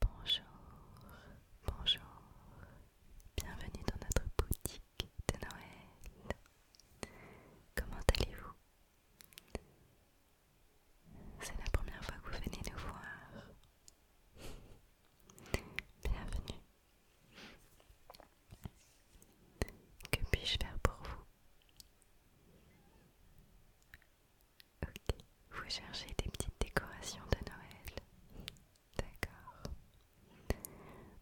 Bonjour, bonjour, bienvenue dans notre boutique de Noël. Comment allez-vous C'est la première fois que vous venez nous voir. Bienvenue. Que puis-je faire pour vous Ok, vous cherchez des petites décorations de Noël. D'accord.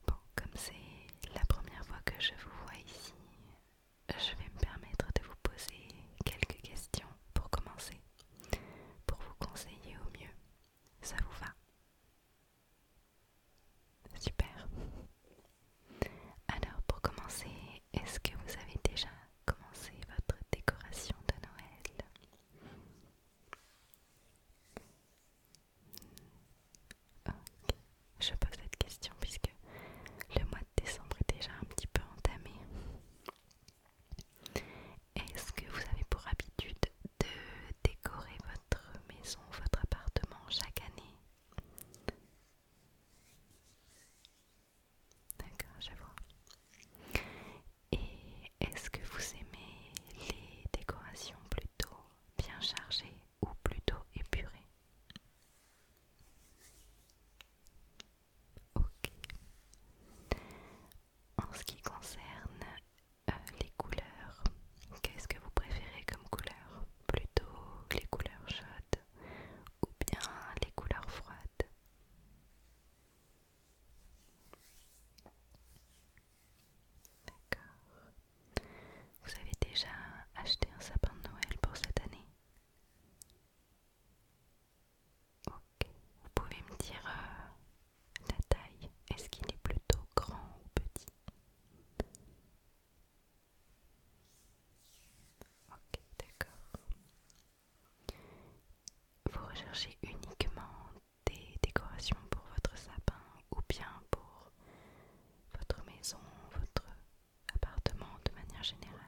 Bon, comme c'est la première fois que je vous vois ici, je vais me permettre de vous poser quelques questions pour commencer, pour vous conseiller au mieux. Ça vous va Super. Alors pour commencer, est-ce que vous avez déjà Commencez votre décoration de Noël. Je pose cette question puisque le mois de décembre est déjà un petit peu entamé. Est-ce que vous avez pour habitude de décorer votre maison, votre appartement chaque année D'accord, j'avoue Et est-ce que vous aimez les décorations plutôt bien chargées ou plutôt épurées Ok. En ce qui concerne euh, les couleurs, qu'est-ce que vous préférez comme couleur Plutôt les couleurs chaudes ou bien les couleurs froides D'accord. Vous avez déjà acheté un sapin de Noël pour cette année Ok. Vous pouvez me dire ta euh, la taille. Est-ce qu'il est plutôt grand ou petit Ok, d'accord. Vous recherchez uniquement des décorations pour votre sapin ou bien pour votre maison, votre appartement de manière générale.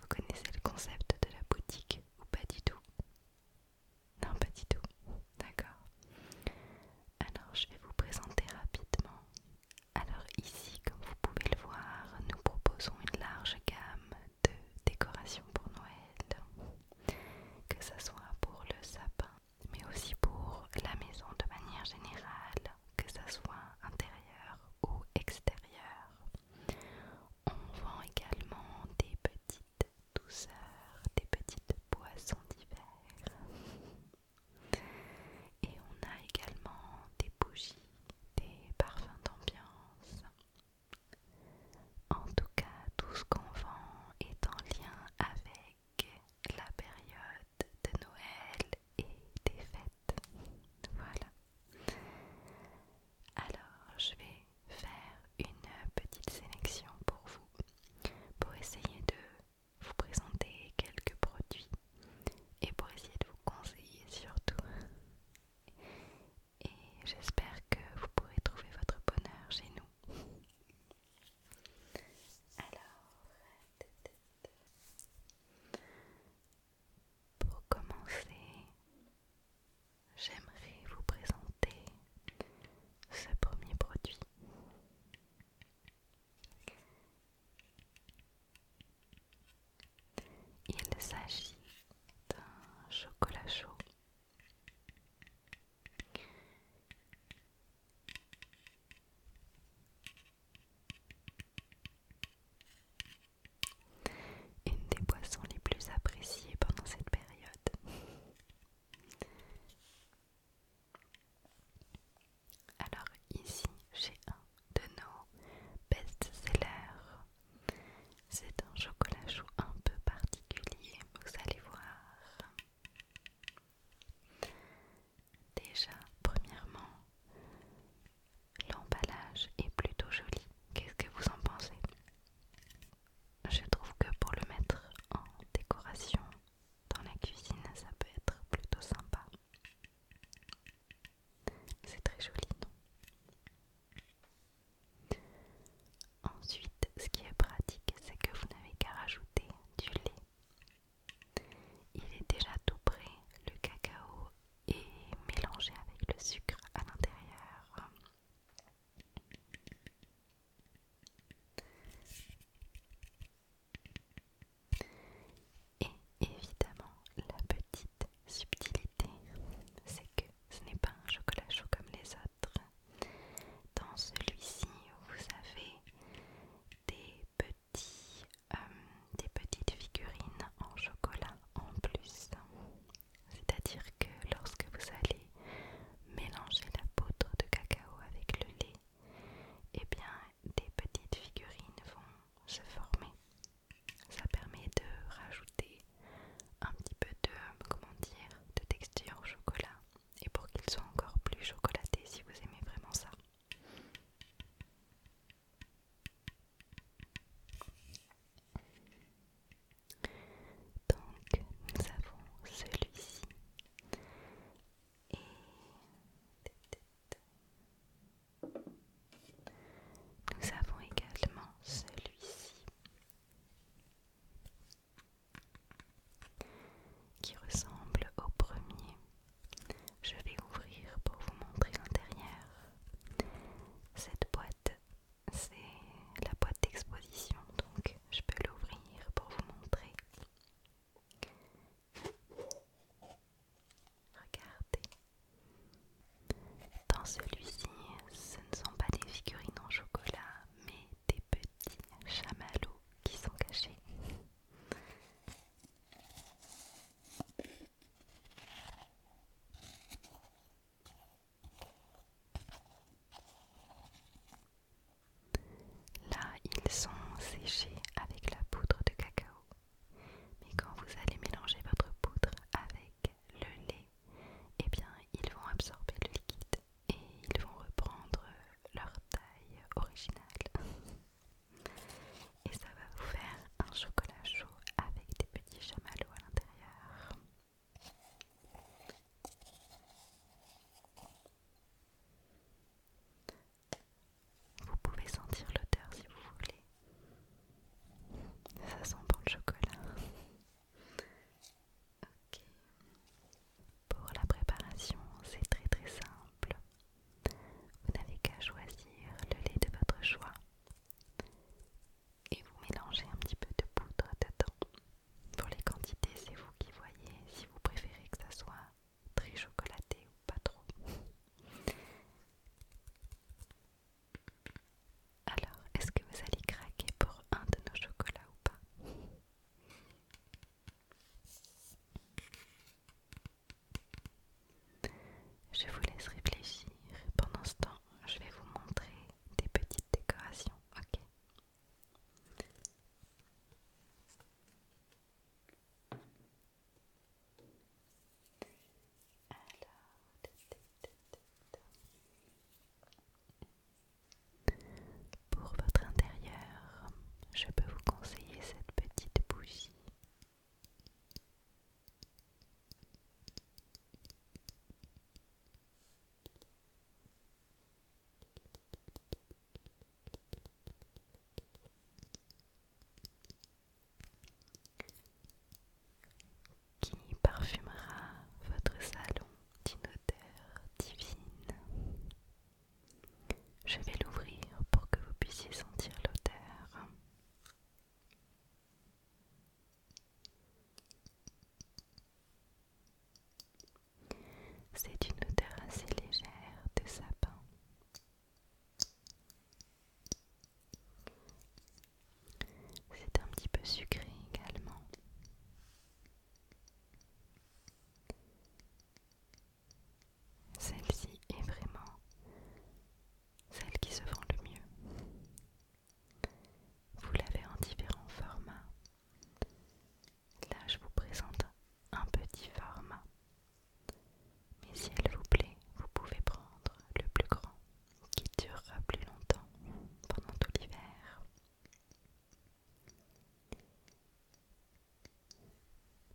Vous connaissez le concept de la boutique ou pas du tout Non, pas du tout. D'accord. Alors je vais vous présenter rapidement. Alors ici, comme vous pouvez le voir, nous proposons une large gamme de décorations pour Noël, que ce soit pour le sapin, mais aussi pour la maison de manière générale, que ce soit intérieur ou extérieur. On vend également des petites douceurs, des petites boissons d'hiver. Et on a également des bougies, des parfums d'ambiance. En tout cas, tout ce qu'on vend est en lien avec la période de Noël et des fêtes. Voilà. Alors, je vais faire une petite sélection pour vous, pour essayer de vous présenter quelques produits et pour essayer de vous conseiller surtout. Et j'espère que vous pourrez trouver votre bonheur chez nous. Alors, pour commencer, j'aimerais vous présenter ce premier produit. Il s'agit d'un chocolat chaud. Une des boissons les plus appréciées pendant cette période. Alors ici j'ai un de nos best-sellers. C'est un chocolat chaud un peu particulier, vous allez voir. Déjà, premièrement, l'emballage est plutôt joli. Qu'est-ce que vous en pensez Je trouve que pour le mettre en décoration, dans la cuisine, ça peut être plutôt sympa. C'est très joli, non Ensuite, ce qui est pratique, c'est que vous n'avez qu'à rajouter du lait. Il est déjà tout prêt, le cacao est mélangé avec le sucre à l'intérieur. Et évidemment, la petite subtilité, c'est que ce n'est pas un chocolat chaud comme les autres. Dans celui-ci, vous avez des, petits, euh, des petites figurines en chocolat en plus. C'est-à-dire que lorsque vous allez mélanger la poudre de cacao avec le lait, et eh bien des petites figurines vont se former. Ça permet de rajouter un petit peu de, comment dire, de texture au chocolat et pour qu'ils soient encore plus chocolatés si vous aimez vraiment ça. Donc nous avons celui-ci et nous avons également celui-ci qui ressemble au premier. Je vais ouvrir pour vous montrer l'intérieur. Cette boîte, c'est la boîte d'exposition, donc je peux l'ouvrir pour vous montrer. Regardez. Dans celui-ci, ce ne sont pas des figurines en chocolat, mais des petits chamallows qui sont cachés. Là, ils sont séchés avec la poudre de cacao. Mais quand vous allez mélanger votre poudre avec le lait, eh bien, ils vont absorber le liquide et ils vont reprendre leur taille originale. Et ça va vous faire un chocolat chaud avec des petits chamallows à l'intérieur. Vous pouvez sentir l'odeur si vous voulez. Ça sent bon le chocolat. Ok. Pour la préparation, c'est très très simple. Vous n'avez qu'à choisir le lait de votre choix et vous mélangez un petit peu de poudre dedans. Pour les quantités, c'est vous qui voyez si vous préférez que ça soit très chocolaté ou pas trop. Alors, est-ce que vous allez craquer pour un de nos chocolats ou pas Je vous laisse réfléchir. Pendant ce temps, je vais vous montrer des petites décorations, ok pour votre intérieur, je peux vous conseiller cette petite bougie qui parfumera votre salon d'une odeur divine. Je vais l'ouvrir pour que vous puissiez sentir l'odeur. C'est une odeur assez légère de sapin. C'est un petit peu sucré également. Celle-ci est vraiment celle qui se vend le mieux. Vous l'avez en différents formats. Là, je vous présente un petit format. Mais si elle vous plaît, vous pouvez prendre le plus grand, qui durera plus longtemps pendant tout l'hiver.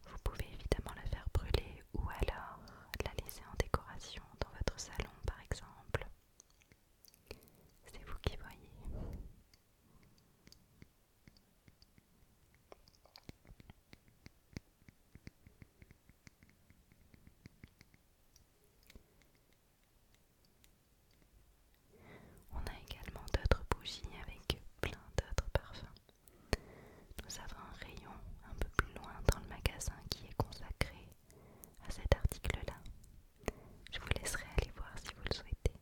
Vous pouvez évidemment la faire brûler ou alors la laisser en décoration dans votre salon par exemple. C'est vous qui voyez. On a également d'autres bougies avec plein d'autres parfums. Nous avons un rayon un peu plus loin dans le magasin qui est consacré à cet article-là. Je vous laisserai aller voir si vous le souhaitez.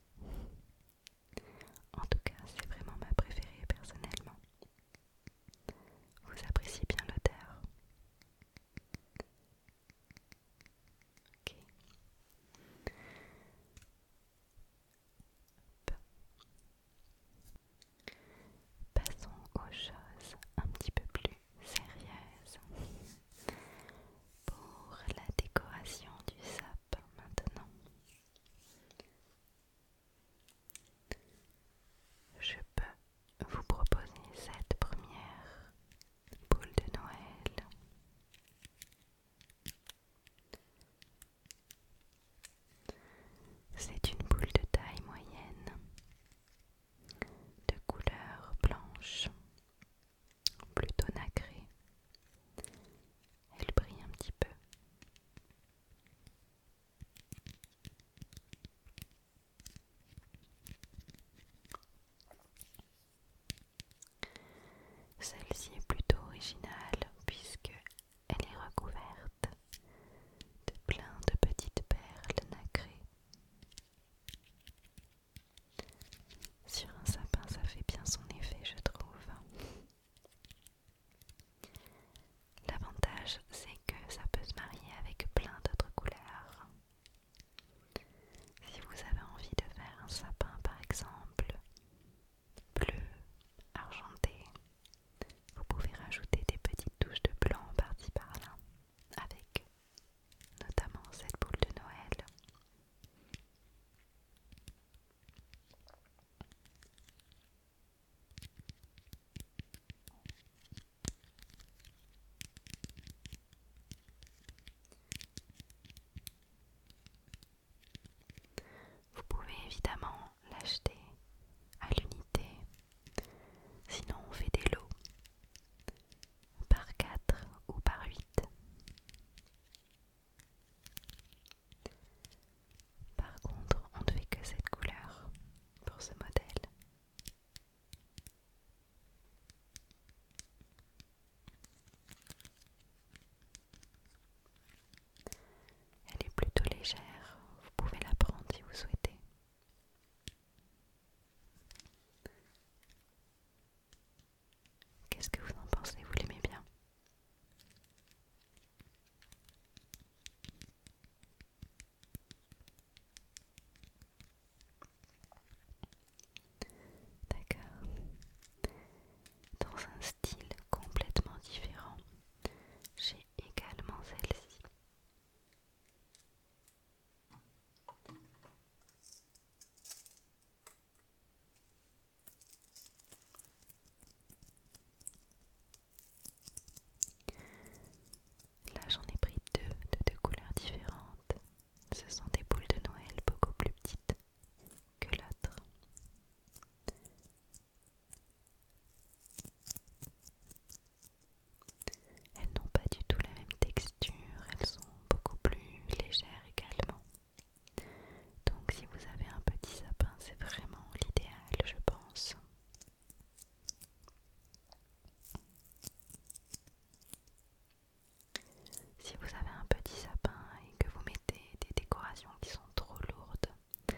En tout cas, c'est vraiment ma préférée personnellement. Vous appréciez bien l'odeur Ok. Passons aux choses un petit peu plus sérieuses pour la décoration du sapin maintenant. Je peux vous proposer cette première boule de Noël. C'est une boule de taille moyenne de couleur blanche plutôt nacrée. Elle brille un petit peu. Celle-ci est plutôt originale puisque elle est recouverte de plein de petites perles nacrées. Sur un sapin, ça fait bien son effet, je trouve. L'avantage, c'est que ça peut se marier avec plein d'autres couleurs. Si vous avez envie de faire un sapin, par exemple, bleu, argenté, vous pouvez rajouter des petites touches de blanc par par-là avec notamment cette boule de Noël. Vous pouvez évidemment l'acheter à l'unité, sinon on fait des lots par quatre ou par huit par contre, on ne fait que cette couleur pour ce modèle. Elle est plutôt légère, vous pouvez la prendre si vous souhaitez. Qu'est-ce que vous en pensez Vous l'aimez bien D'accord. Dans un style complètement différent, j'ai également celle-ci. Là j'en ai pris deux de deux couleurs différentes. Ce sont des boules de Noël beaucoup plus petites que l'autre. Elles n'ont pas du tout la même texture, elles sont beaucoup plus légère également. Donc si vous avez un petit sapin, c'est vraiment l'idéal, je pense. Si vous avez un petit sapin et que vous mettez des décorations qui sont trop lourdes,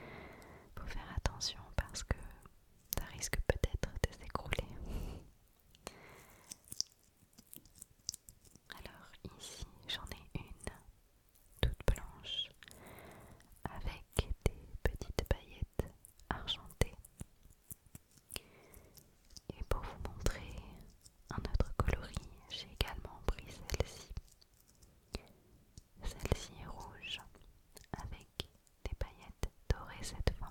faut faire attention parce que ça risque peut-être de s'écrouler. Alors ici j'en ai une toute blanche avec des petites paillettes argentées. Et pour vous montrer un autre coloris, j'ai également pris celle-ci. Celle-ci est rouge avec des paillettes dorées cette fois.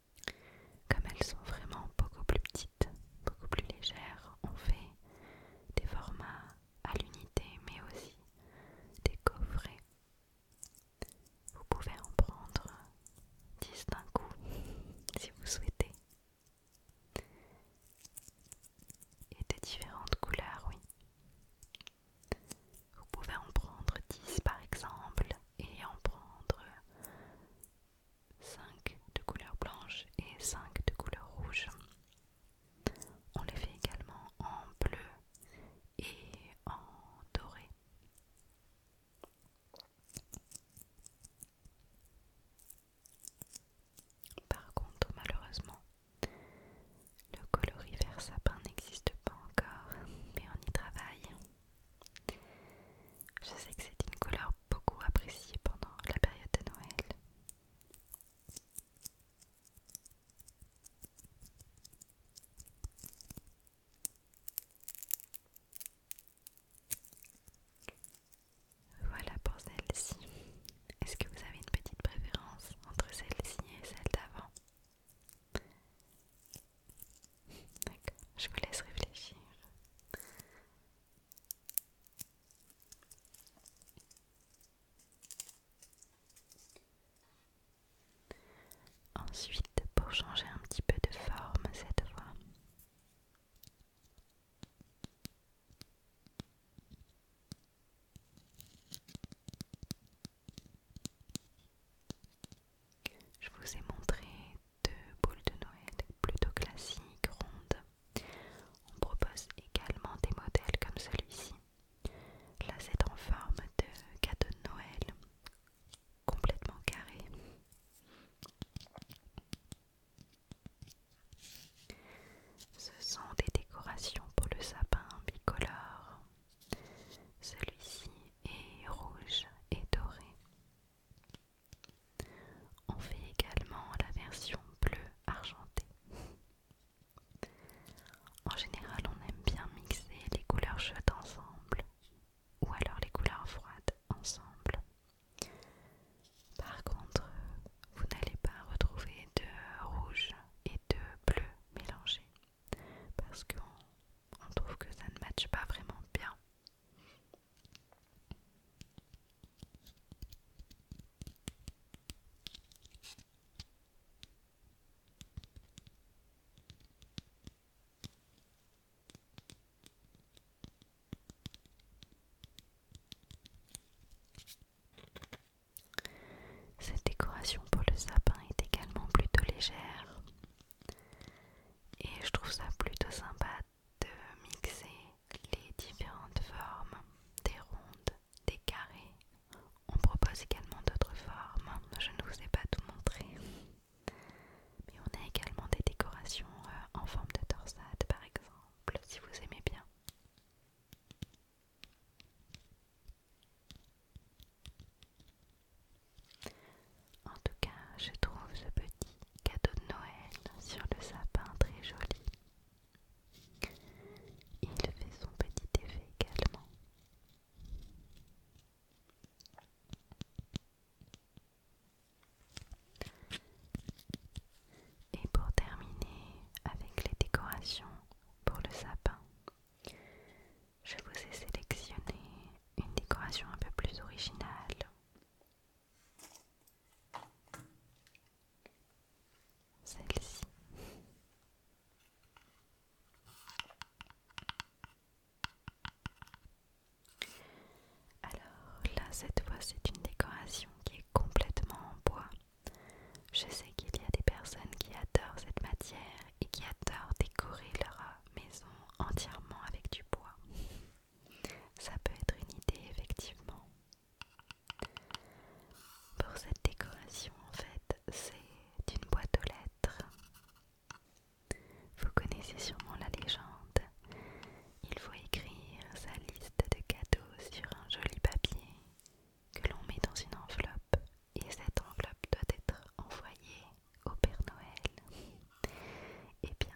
Comme elles sont vraiment beaucoup plus petites, beaucoup plus légères, on fait des formats à l'unité mais aussi des coffrets. Vous pouvez en prendre 10 d'un coup si vous souhaitez. Et de différentes couleurs, oui. Vous pouvez en prendre 10 par exemple et en prendre 5 de couleur blanche et 5 de couleur rouge. On les fait également en bleu et en doré. Par contre, malheureusement, le coloris vert sapin n'existe pas encore, mais on y travaille. Je sais que c'est une couleur beaucoup appréciée pendant la période de Noël. Voilà pour celle-ci. Est-ce que vous avez une petite préférence entre celle-ci et celle d'avant D'accord, je vous laisse réfléchir. Ensuite, pour changer un petit peu de forme cette fois. Je vous ai montré deux boules de Noël plutôt classiques, rondes. On propose également des modèles comme celui-ci. Là, c'est en forme de cadeau de Noël, complètement carré. Ce sont des décorations pour le sapin bicolore. Celui-ci et rouge et doré. On fait également la version bleu-argenté En général, on aime bien mixer les couleurs chaudes ensemble ou alors les couleurs froides ensemble. Par contre, vous n'allez pas retrouver de rouge et de bleu mélangés parce qu'on trouve que ça ne matche pas vraiment bien. Cette décoration pour le sapin est également plutôt légère et je trouve ça plutôt sympa de mixer les différentes formes, des rondes, des carrés. On propose également d'autres formes, je ne vous ai pas tout montré. Mais on a également des décorations euh, en forme de torsade par exemple, si vous aimez bien. En tout cas, je trouve ce petit cadeau de Noël sur le sapin très joli. Il fait son petit effet également. Et pour terminer avec les décorations pour le sapin, je vous ai sélectionné une décoration un peu plus originale. Celle-ci. Alors là, cette fois, c'est une décoration qui est complètement en bois. Je sais qu'il y a des personnes qui adorent cette matière et qui adore décorer leur maison entièrement avec du bois. Ça peut être une idée effectivement. Pour cette décoration en fait, c'est une boîte aux lettres. Vous connaissez sûrement la légende. Il faut écrire sa liste de cadeaux sur un joli papier que l'on met dans une enveloppe et cette enveloppe doit être envoyée au Père Noël. Et eh bien,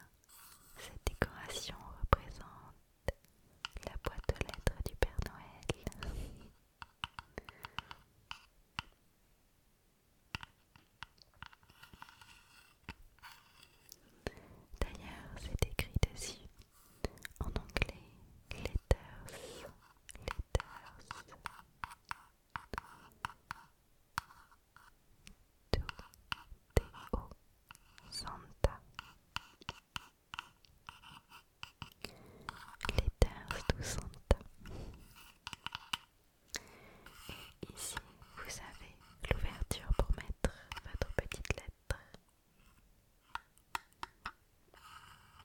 cette décoration représente la boîte aux lettres du Père Noël. D'ailleurs, c'est écrit dessus en anglais letters, letters, Santa. Santa. ici, vous avez l'ouverture pour mettre votre petite lettre.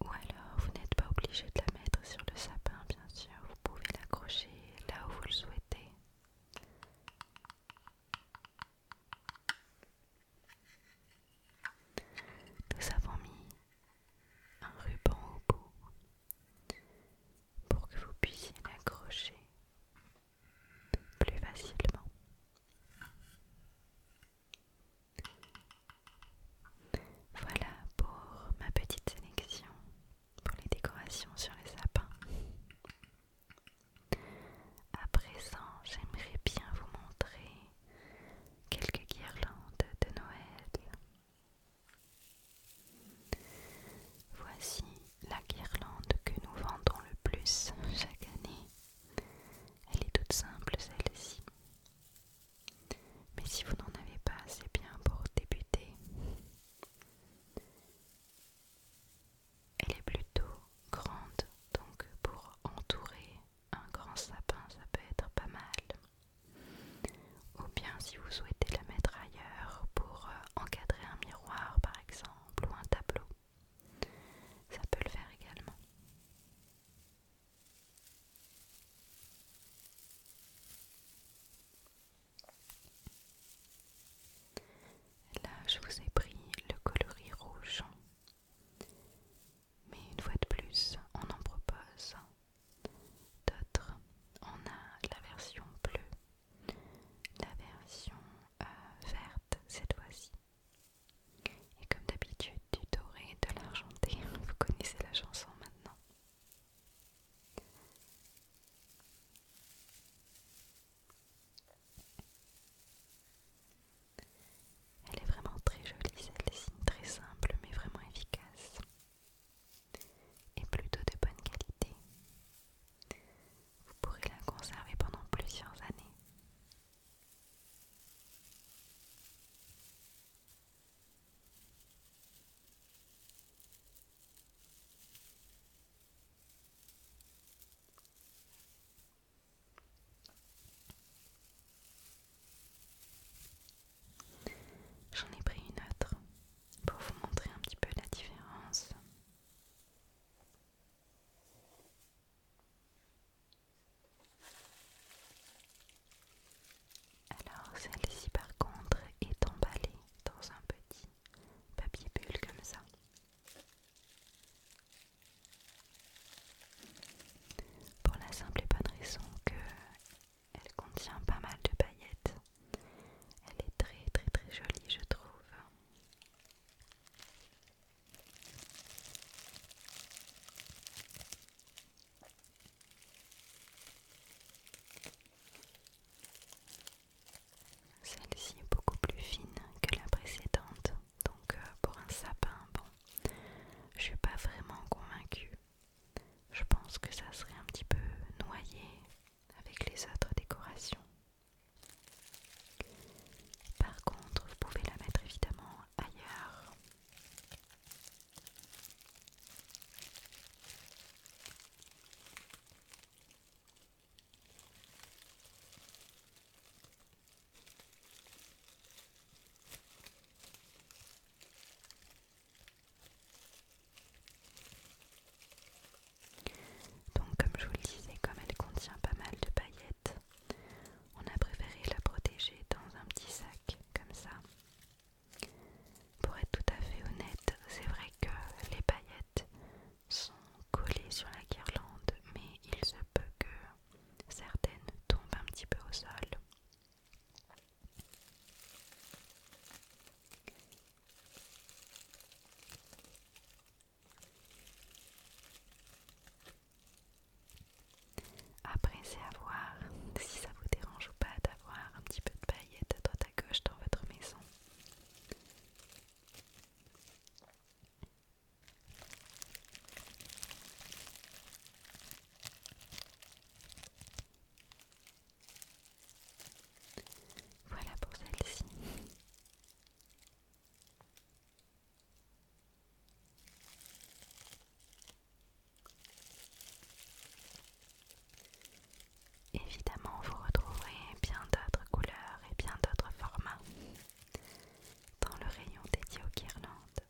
Ou alors, vous n'êtes pas obligé de la mettre sur le sapin, bien sûr, vous pouvez l'accrocher là où vous le souhaitez. Nous avons mis un ruban au bout pour que vous puissiez l'accrocher plus facilement. Voilà pour ma petite sélection pour les décorations sur les sapins. À présent, j'aimerais bien vous montrer quelques guirlandes de Noël. Voici la guirlande que nous vendons le plus chaque année. Elle est toute simple celle-ci. Mais si vous n'en avez pas, c'est bien pour débuter. Elle est plutôt grande, donc pour entourer un grand sapin, ça peut être pas mal. Ou bien si vous souhaitez la mettre ailleurs pour euh, encadrer un miroir par exemple ou un tableau, ça peut le faire également. Là, je vous ai pris le coloris rouge. Mais une fois de plus, on en propose d'autres. On a la version bleue, la version euh, verte cette fois-ci, et comme d'habitude, du doré et de l'argenté. Vous connaissez la chanson maintenant. Elle est vraiment très jolie, le dessine très simple mais vraiment efficace. Et plutôt de bonne qualité. Vous pourrez la conserver pendant plusieurs années. J'en ai pris une autre pour vous montrer un petit peu la différence. Alors celle-ci par contre est emballée dans un petit papier bulle comme ça. Pour la simple et bonne raison qu'elle contient pas mal de paillettes. Elle est très très très jolie je trouve. Celle-ci est beaucoup plus fine que la précédente, donc euh, pour un sapin, bon, je suis pas vraiment convaincue. Je pense que ça serait un petit peu noyé avec les autres décorations. Par contre, vous pouvez la mettre évidemment ailleurs. Donc comme je vous le disais, comme elle contient pas mal de paillettes, on a préféré la protéger dans un petit sac comme ça. Pour être tout à fait honnête, c'est vrai que les paillettes sont collées sur la guirlande, mais il se peut que certaines tombent un petit peu au sol. Après, c'est à voir si ça vous dérange ou pas d'avoir un petit peu de paillettes à droite à gauche dans votre maison. Voilà pour celle-ci. Évidemment, vous retrouverez bien d'autres couleurs et bien d'autres formats dans le rayon dédié au guirlandes.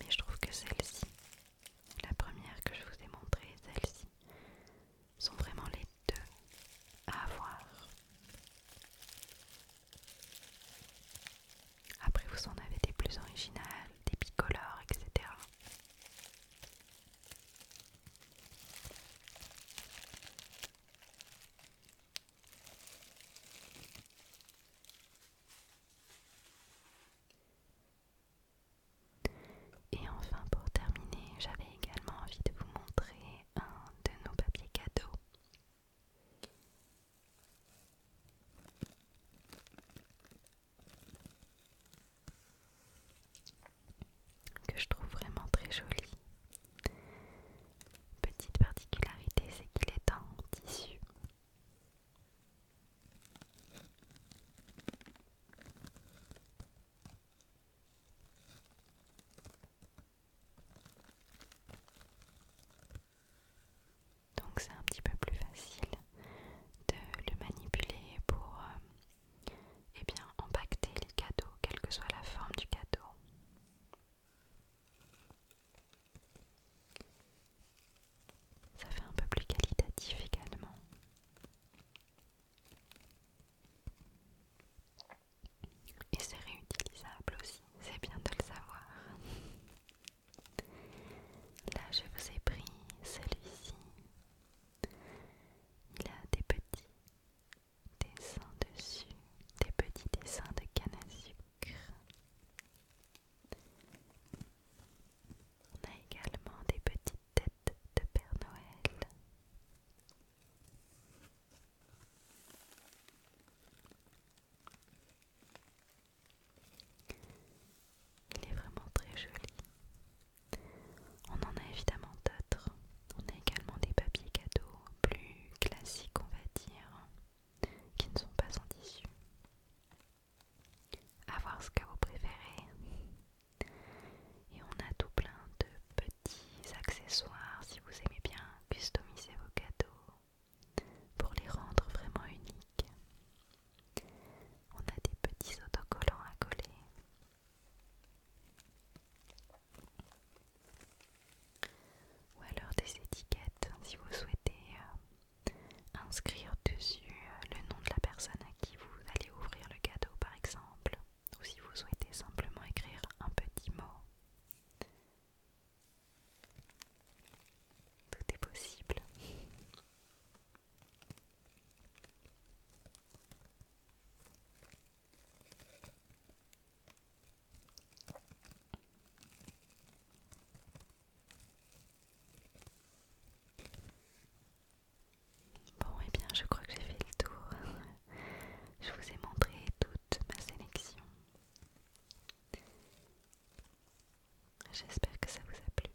Mais je trouve que celle-ci, la première que je vous ai montrée, celle-ci, sont vraiment les de à avoir. Après, vous en avez des plus originales, des bicolores, etc. Et enfin pour terminer, j'avais également envie de vous montrer un de nos papiers cadeaux. Que je trouve vraiment très joli. Petite particularité, c'est qu'il est en tissu. Donc c'est un petit peu plus facile de le manipuler pour euh, eh empacter bien, les cadeaux, quelle que soit la forme du cadeau. Ça fait un peu plus qualitatif également. Et c'est réutilisable aussi, c'est bien de le savoir. Là, je vous ai pris celui-ci. Il a des petits dessins dessus, des petits dessins de canne à sucre. On a également des petites têtes de Père Noël. Il est vraiment très joli. On en a évidemment d'autres. On a également des papiers cadeaux plus classiques, on va dire, qui ne sont pas en tissu. A voir ce que vous préférez. Et on a tout plein de petits petits accessoires si vous aimez bien customiser vos cadeaux pour les rendre vraiment uniques. On a des petits autocollants à coller. Ou alors des étiquettes si vous souhaitez euh, inscrire dessus euh, le nom de la personne à qui vous allez ouvrir le cadeau par exemple ou si vous souhaitez simplement écrire un petit mot. Tout est possible. Bon, et eh bien, je crois que j'ai fait le tour. Je vous ai montré toute ma sélection. J'espère que ça vous a plu.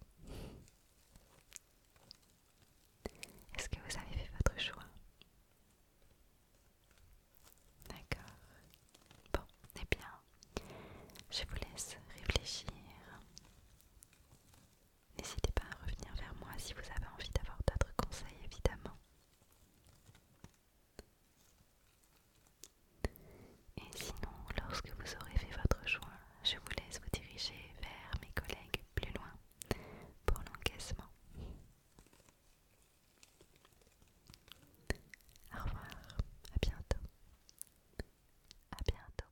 Est-ce que vous avez fait votre choix D'accord. Bon, eh bien, je vous laisse réfléchir. N'hésitez pas à revenir vers moi si vous avez envie d'avoir d'autres conseils, évidemment. Et sinon, lorsque vous aurez fait votre choix, je vous laisse vous diriger vers mes collègues plus loin pour l'encaissement. Au revoir, à bientôt. À bientôt.